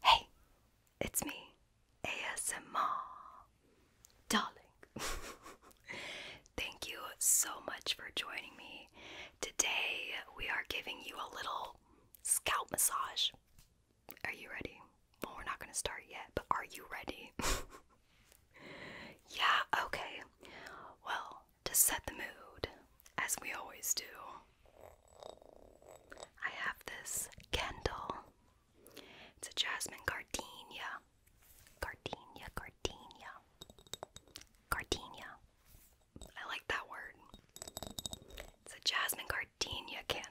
Hey, it's me, ASMR. Darling, thank you so much for joining me. Today, we are giving you a little scalp massage. Are you ready? Well, we're not going to start yet, but are you ready? yeah, okay. Well, to set the mood, as we always do, I have this candle. It's a jasmine gardenia. Gardenia, gardenia. Gardenia. I like that word. It's a jasmine gardenia candle.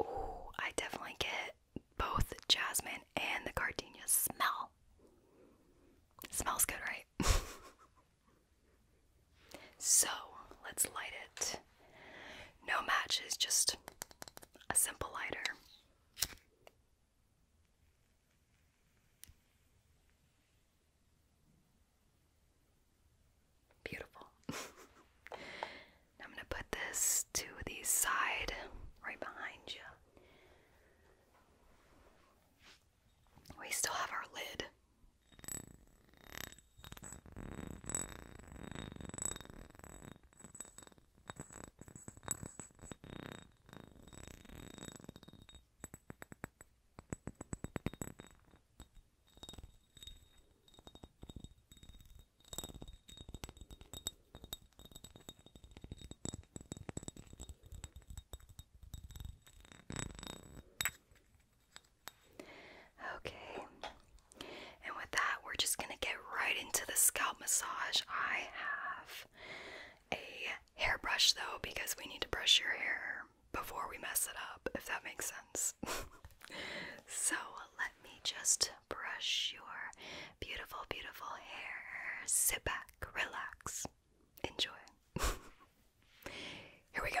Ooh, I definitely get both jasmine and the gardenia smell. smells good, right? so let's light it. No matches, just a simple lighter. Beautiful. I'm going to put this to the side right behind you. We still have our lid. Okay, and with that, we're just going to get right into the scalp massage. I have a hairbrush though, because we need to brush your hair before we mess it up, if that makes sense. so let me just brush your beautiful, beautiful hair. Sit back, relax, enjoy. Here we go.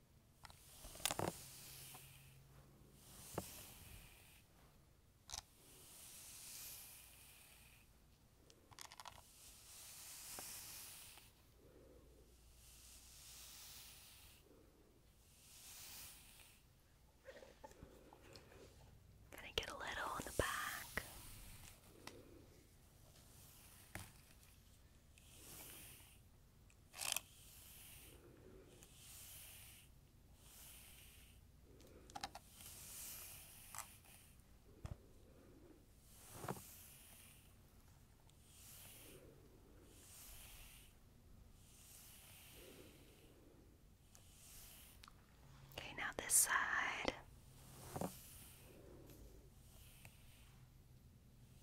Gonna get a little on the back. Okay, now this side.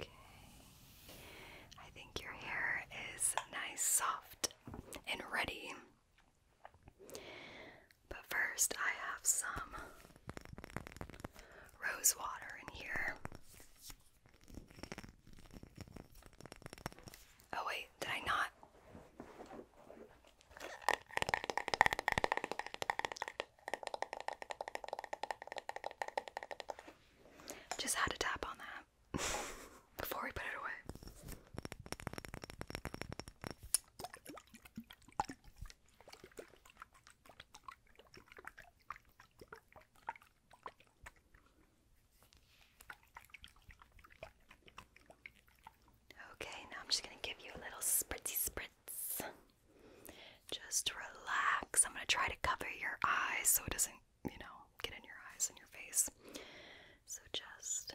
Okay. I think your hair is nice, soft, and ready but first, I have some rose water in here. Oh, wait, did I not? Just had to tap on that before we put it away. Okay, now I'm just going to give you a little spritzy spritz. Just relax. I'm going to try to cover your eyes so it doesn't, you know, get in your eyes and your face. So just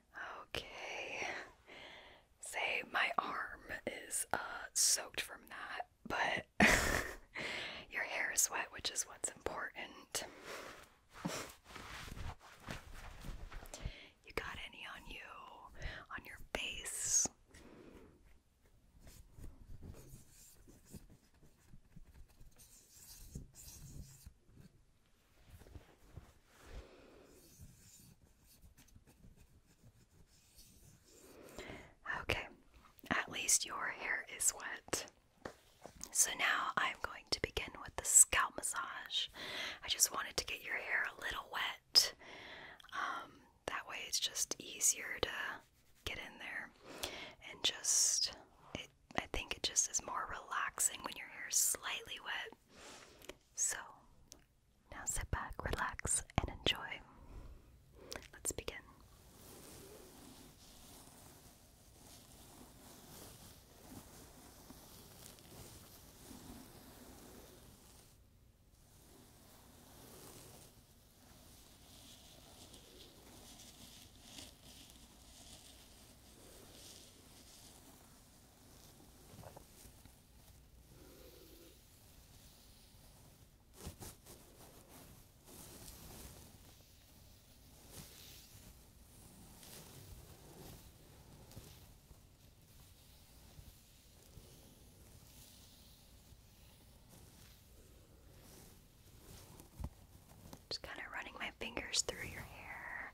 Okay. Say my arm is uh soaked from that, but your hair is wet, which is what's important. You got any on you? On your face? Okay, at least your hair is wet. So now I'm going to begin with the scalp massage. I just wanted to get your hair a little wet. Um, that way it's just easier to get in there and just it I think it just is more relaxing when your hair is slightly wet. So now sit back, relax, and enjoy. Let's begin. Just kind of running my fingers through your hair.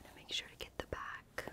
Gonna make sure to get the back.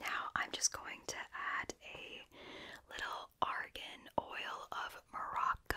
now I'm just going to add a little argan oil of Morocco.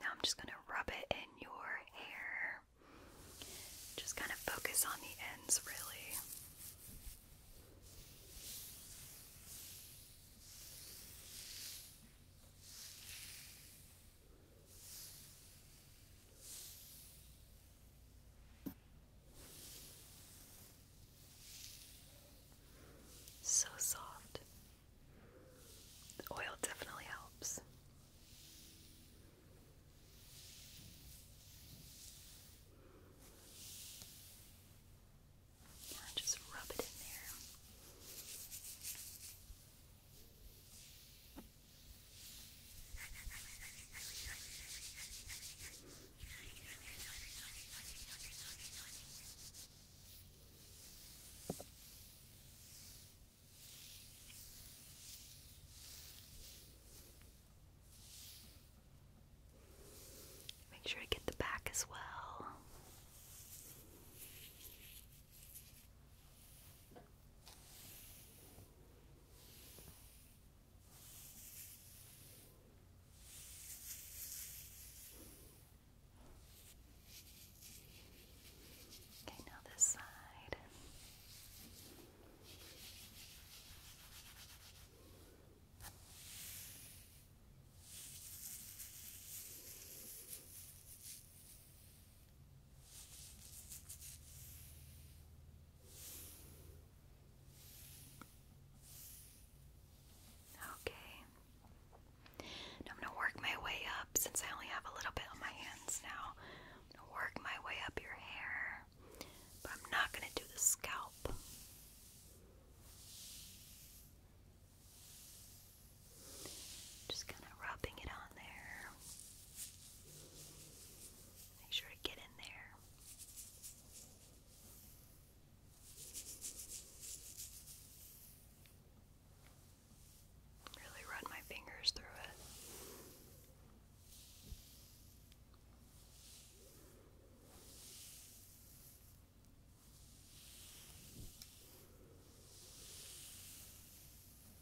Now I'm just going to rub it in your hair. Just kind of focus on the ends, really. So soft. oil definitely helps. just rub it in there. Make sure I get the back as well. Okay, now this side. Okay, Okay. I'm going to work my way up since I only have a little bit on my hands now. work my way up your hair, but I'm not going to do the scalp. Just kind of rubbing it on there. Make sure to get in there. Really run my fingers through it.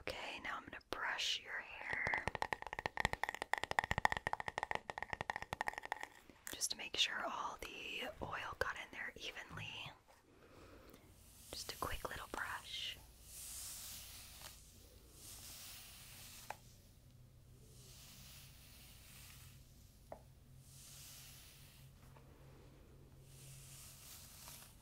Okay, now I'm going to brush your hair just to make sure all the oil got in there evenly. Just a quick little brush.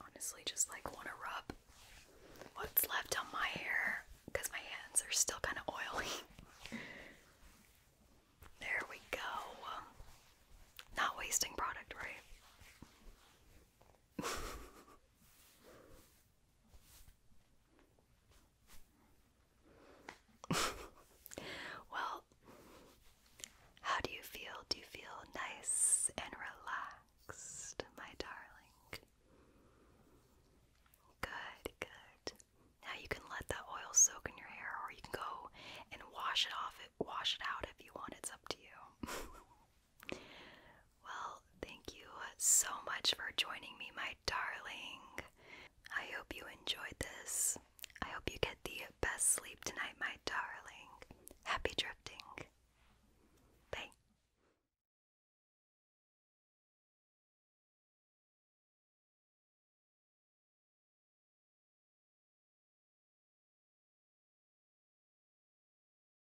Honestly, just like want to rub what's left on my hair because my hands are still kind of oily. there we go. Not wasting product, right? well, how do you feel? Do you feel nice and relaxed, my darling? Good, good. Now you can let that oil soak in your hair, or you can go and wash it off. It wash it out if you want. It's up to you. Well, thank you so much for joining me, my darling. I hope you enjoyed this. I hope you get the best sleep tonight, my darling. Happy drifting. Bye.